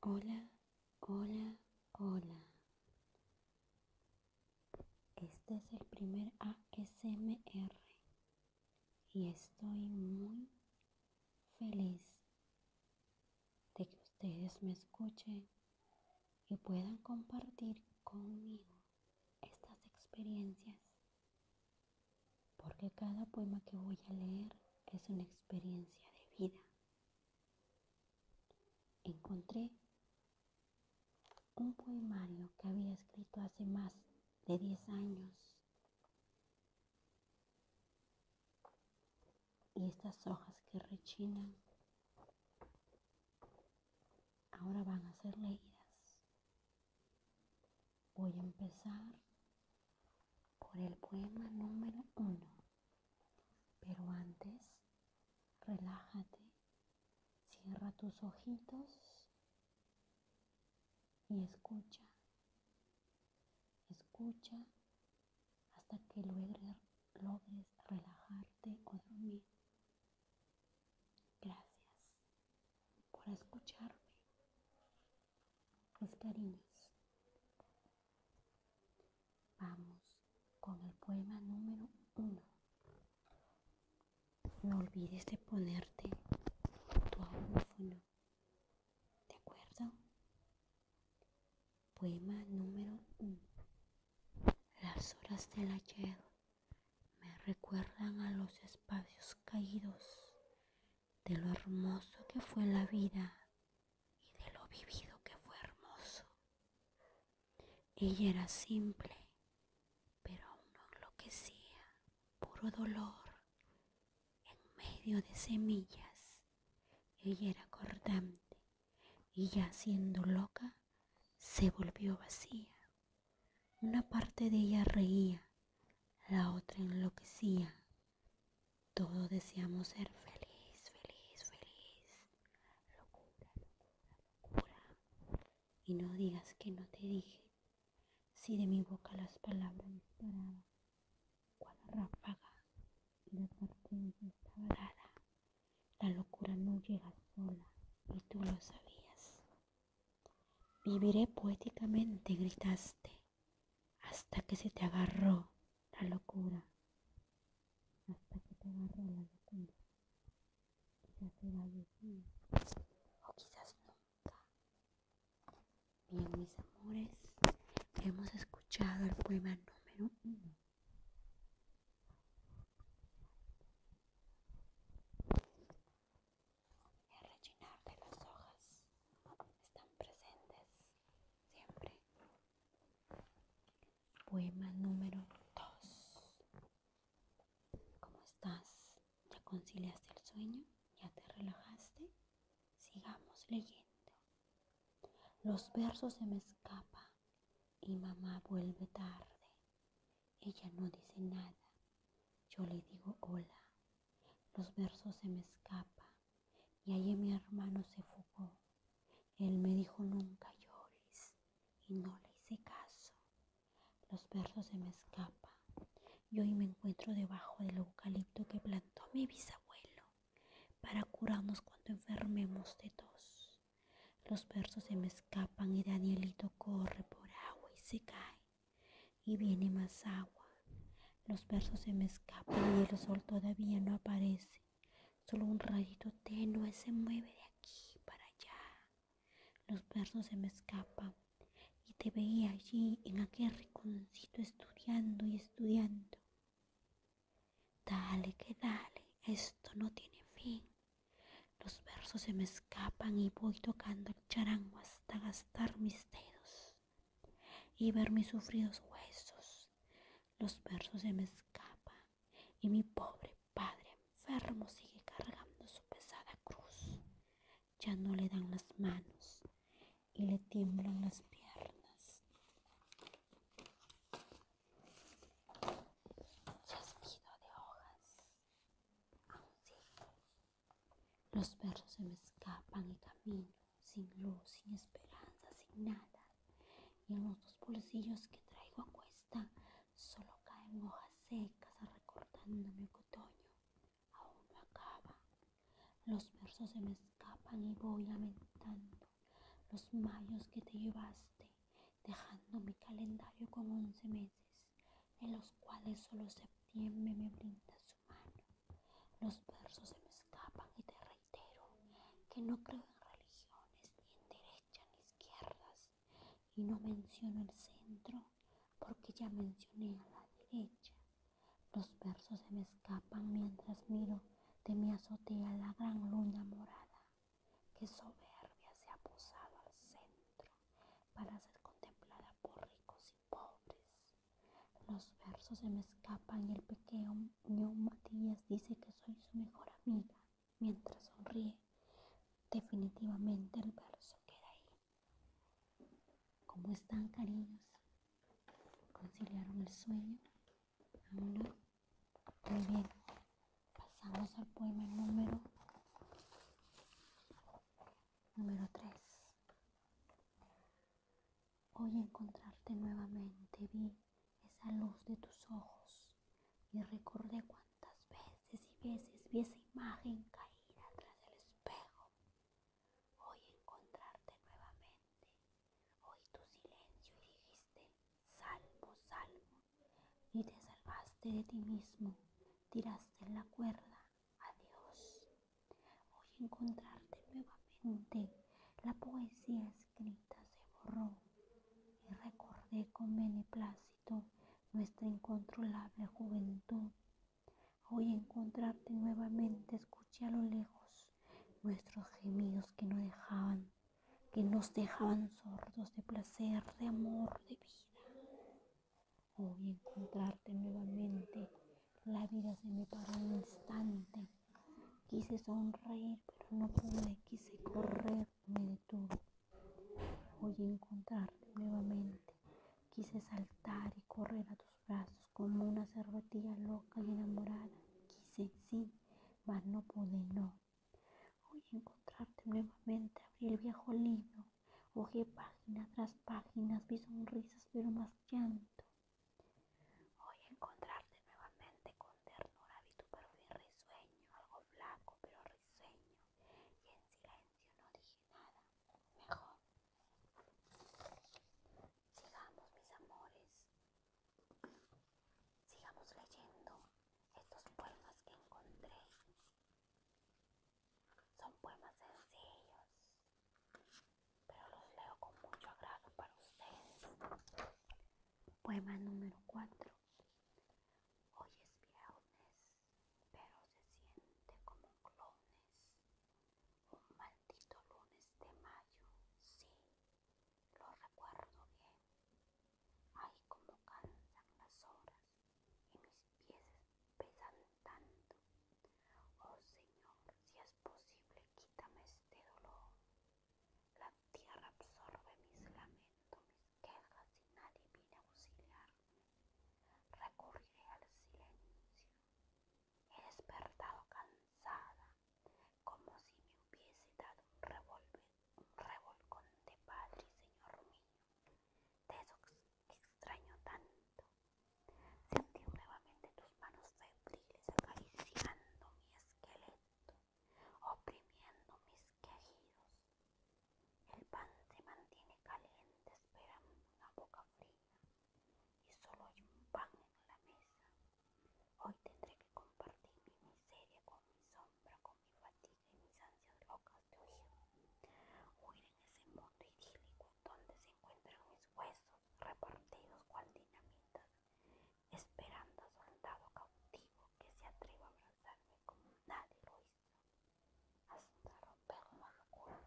Hola, hola, hola. Este es el primer ASMR y estoy muy feliz de que ustedes me escuchen y puedan compartir conmigo estas experiencias porque cada poema que voy a leer es una experiencia de vida. Encontré un poemario que había escrito hace más de 10 años y estas hojas que rechinan ahora van a ser leídas. Voy a empezar por el poema número uno. Pero antes, relájate, cierra tus ojitos y escucha. Escucha hasta que logres, relajarte o dormir. Gracias por escucharme. Los cariños. Vamos con el poema número uno. No olvides de ponerte tu audífono. ¿De acuerdo? Poema número uno. Las horas del ayer me recuerdan a los espacios caídos de lo hermoso que fue la vida y de lo vivido que fue hermoso. Ella era simple, pero aún no enloquecía, puro dolor, en medio de semillas. Ella era cortante y ya siendo loca, se volvió vacía. Una parte de ella reía, la otra enloquecía, todos deseamos ser feliz, feliz, feliz. Locura, locura, locura. Y no digas que no te dije. Si de mi boca las palabras disparaban, Cuando ráfaga la parte la locura no llega sola y tú lo sabías. Viviré poéticamente, gritaste hasta que se te agarró la locura, hasta que te agarró la locura. Quizás te vaya o quizás nunca. Bien, mis amores, hemos escuchado el poema número uno. El rellenar de las hojas están presentes siempre. Poema número 2. ¿Cómo estás? ¿Ya conciliaste el sueño? ¿Ya te relajaste? Sigamos leyendo. Los versos se me escapan y mamá vuelve tarde. Ella no dice nada. Yo le digo hola los versos se me escapan y allí mi hermano se fugó. Él me dijo nunca llores y no le hice caso. Los versos se me escapan y hoy me encuentro debajo del eucalipto que plantó mi bisabuelo para curarnos cuando enfermemos de tos. Los versos se me escapan y Danielito corre por agua y se cae y viene más agua. Los versos se me escapan y el sol todavía no aparece. Solo un rayito tenue se mueve de aquí para allá. Los versos se me escapan y te veía allí en aquel rinconcito estudiando y estudiando. Dale que dale, esto no tiene fin. Los versos se me escapan y voy tocando el charango hasta gastar mis dedos y ver mis sufridos huesos. Los versos se me escapan y mi pobre padre enfermo sigue cargando su pesada cruz. Ya no le dan las manos y le tiemblan las piernas. de hojas. Los versos se me escapan y camino, sin luz, sin esperanza, sin nada. Y en los dos bolsillos que traigo a cuesta solo caen hojas secas recortando mi otoño aún no acaba. Los versos se me escapan y voy lamentando los mayos que te llevaste, dejando mi calendario con once meses, en los cuales solo septiembre me brinda su los versos se me escapan y te reitero que no creo en religiones, ni en derecha ni izquierdas. Y no menciono el centro porque ya mencioné a la derecha. Los versos se me escapan mientras miro de mi azotea la gran luna morada que soberbia se ha posado al centro para ser contemplada por ricos pobres. Los versos se me escapan y el pequeño Matías dice que soy su mejor amiga mientras sonríe. Definitivamente el verso queda ahí. ¿Cómo están, cariños? ¿Conciliaron el sueño? Muy bien. Pasamos al poema número número 3. Hoy encontrarte nuevamente vi esa luz de tus ojos y recordé cuántas veces y veces vi esa imagen caída tras el espejo. Hoy encontrarte nuevamente, oí tu silencio y dijiste, salvo, salvo, y te salvaste de ti mismo, tiraste en la cuerda, adiós. Hoy encontrarte nuevamente. La poesía escrita se borró y recordé con beneplácito nuestra incontrolable juventud. Hoy encontrarte nuevamente escuché a lo lejos nuestros gemidos que no dejaban, que nos dejaban sordos de placer, de amor, de vida. Hoy encontrarte nuevamente. La vida se me paró un instante. Quise sonreír, pero no pude. Quise correr, me detuvo Hoy encontrarte nuevamente. Quise saltar y correr a tus brazos como una cervetilla loca y enamorada. Quise, sí, mas no pude, no. Hoy encontrarte nuevamente. Abrí el viejo libro. Ojé página tras páginas, Vi sonrisas, pero más llanto. Hoy encontrarte nuevamente con ternura vi tu perfil risueño, algo flaco pero risueño, y en silencio no dije nada. Mejor. Sigamos, mis amores. Sigamos leyendo estos poemas que encontré. Son poemas sencillos, pero los leo con mucho agrado para ustedes. Poema número 4. Hoy es viernes, pero se siente como lunes. Un maldito lunes de mayo, sí, lo recuerdo bien. Ay, como cansan las horas y mis pies pesan tanto. Oh Señor, si es posible, quítame este dolor. La tierra absorbe mis lamentos, mis quejas y nadie viene a auxiliarme. Recurriré al silencio. He despertado cansada, como si me hubiese dado un, revolcón de Padre, Señor mío. Te extraño tanto Sentir nuevamente tus manos febriles acariciando mi esqueleto, oprimiendo mis quejidos. El pan se mantiene caliente esperando una boca fría y solo hay un pan en la mesa. Hoy tendré que compartir mi miseria con mi sombra, con mi fatiga y mis ansias locas de huir. Huir en ese mundo idílico donde se encuentran mis huesos repartidos cual dinamitas, esperando a soldado cautivo que se atreva a abrazarme como nadie lo hizo, hasta romper una locura.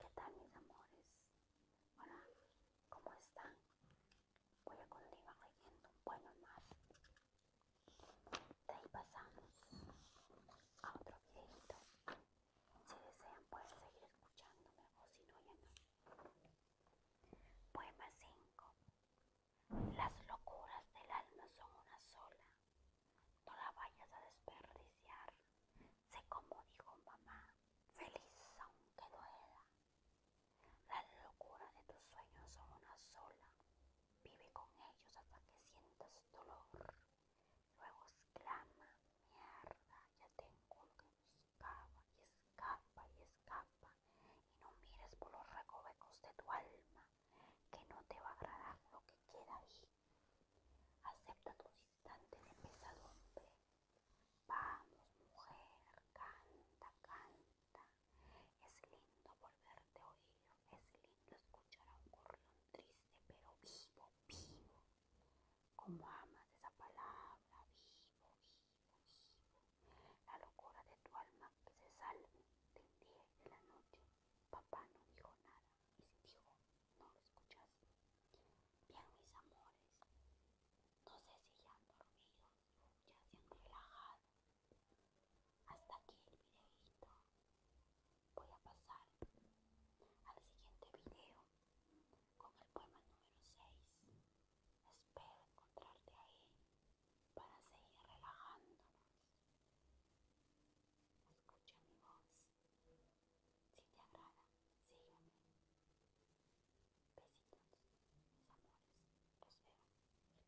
¿Qué tal mis amores? Hola, ¿cómo están? Voy a continuar leyendo un más. De ahí pasamos a otro videito. Si desean pueden seguir escuchándome o si no ya Poema 5. Las locuras del alma son una sola. No la vayas a desperdiciar. Sé como dijo mamá. Feliz aunque duela. Las locuras de tus sueños son una sola. Vive con ellos hasta que sientas dolor. Luego exclama, mierda, ya tengo lo que buscaba y escapa y escapa y no mires por los recovecos de tu alma, que no te va a agradar lo que queda ahí. Acepta tu instante de pesadumbre. Vamos, mujer, canta, canta. Es lindo volverte a oír, es lindo escuchar a un corrión triste pero vivo, vivo. Como amas esa palabra, vivo, vivo, vivo. La locura de tu alma que se salve del día y de la noche. Papá no dijo nada y si dijo, no lo escuchaste. Bien, mis amores, no sé si ya han dormido, ya se han relajado hasta aquí el videito. Voy a pasar al siguiente video con el poema número 6. Espero encontrarte ahí para seguir relajándonos. Escucha mi voz. Si te agrada, sígueme. Besitos, mis amores. Los veo.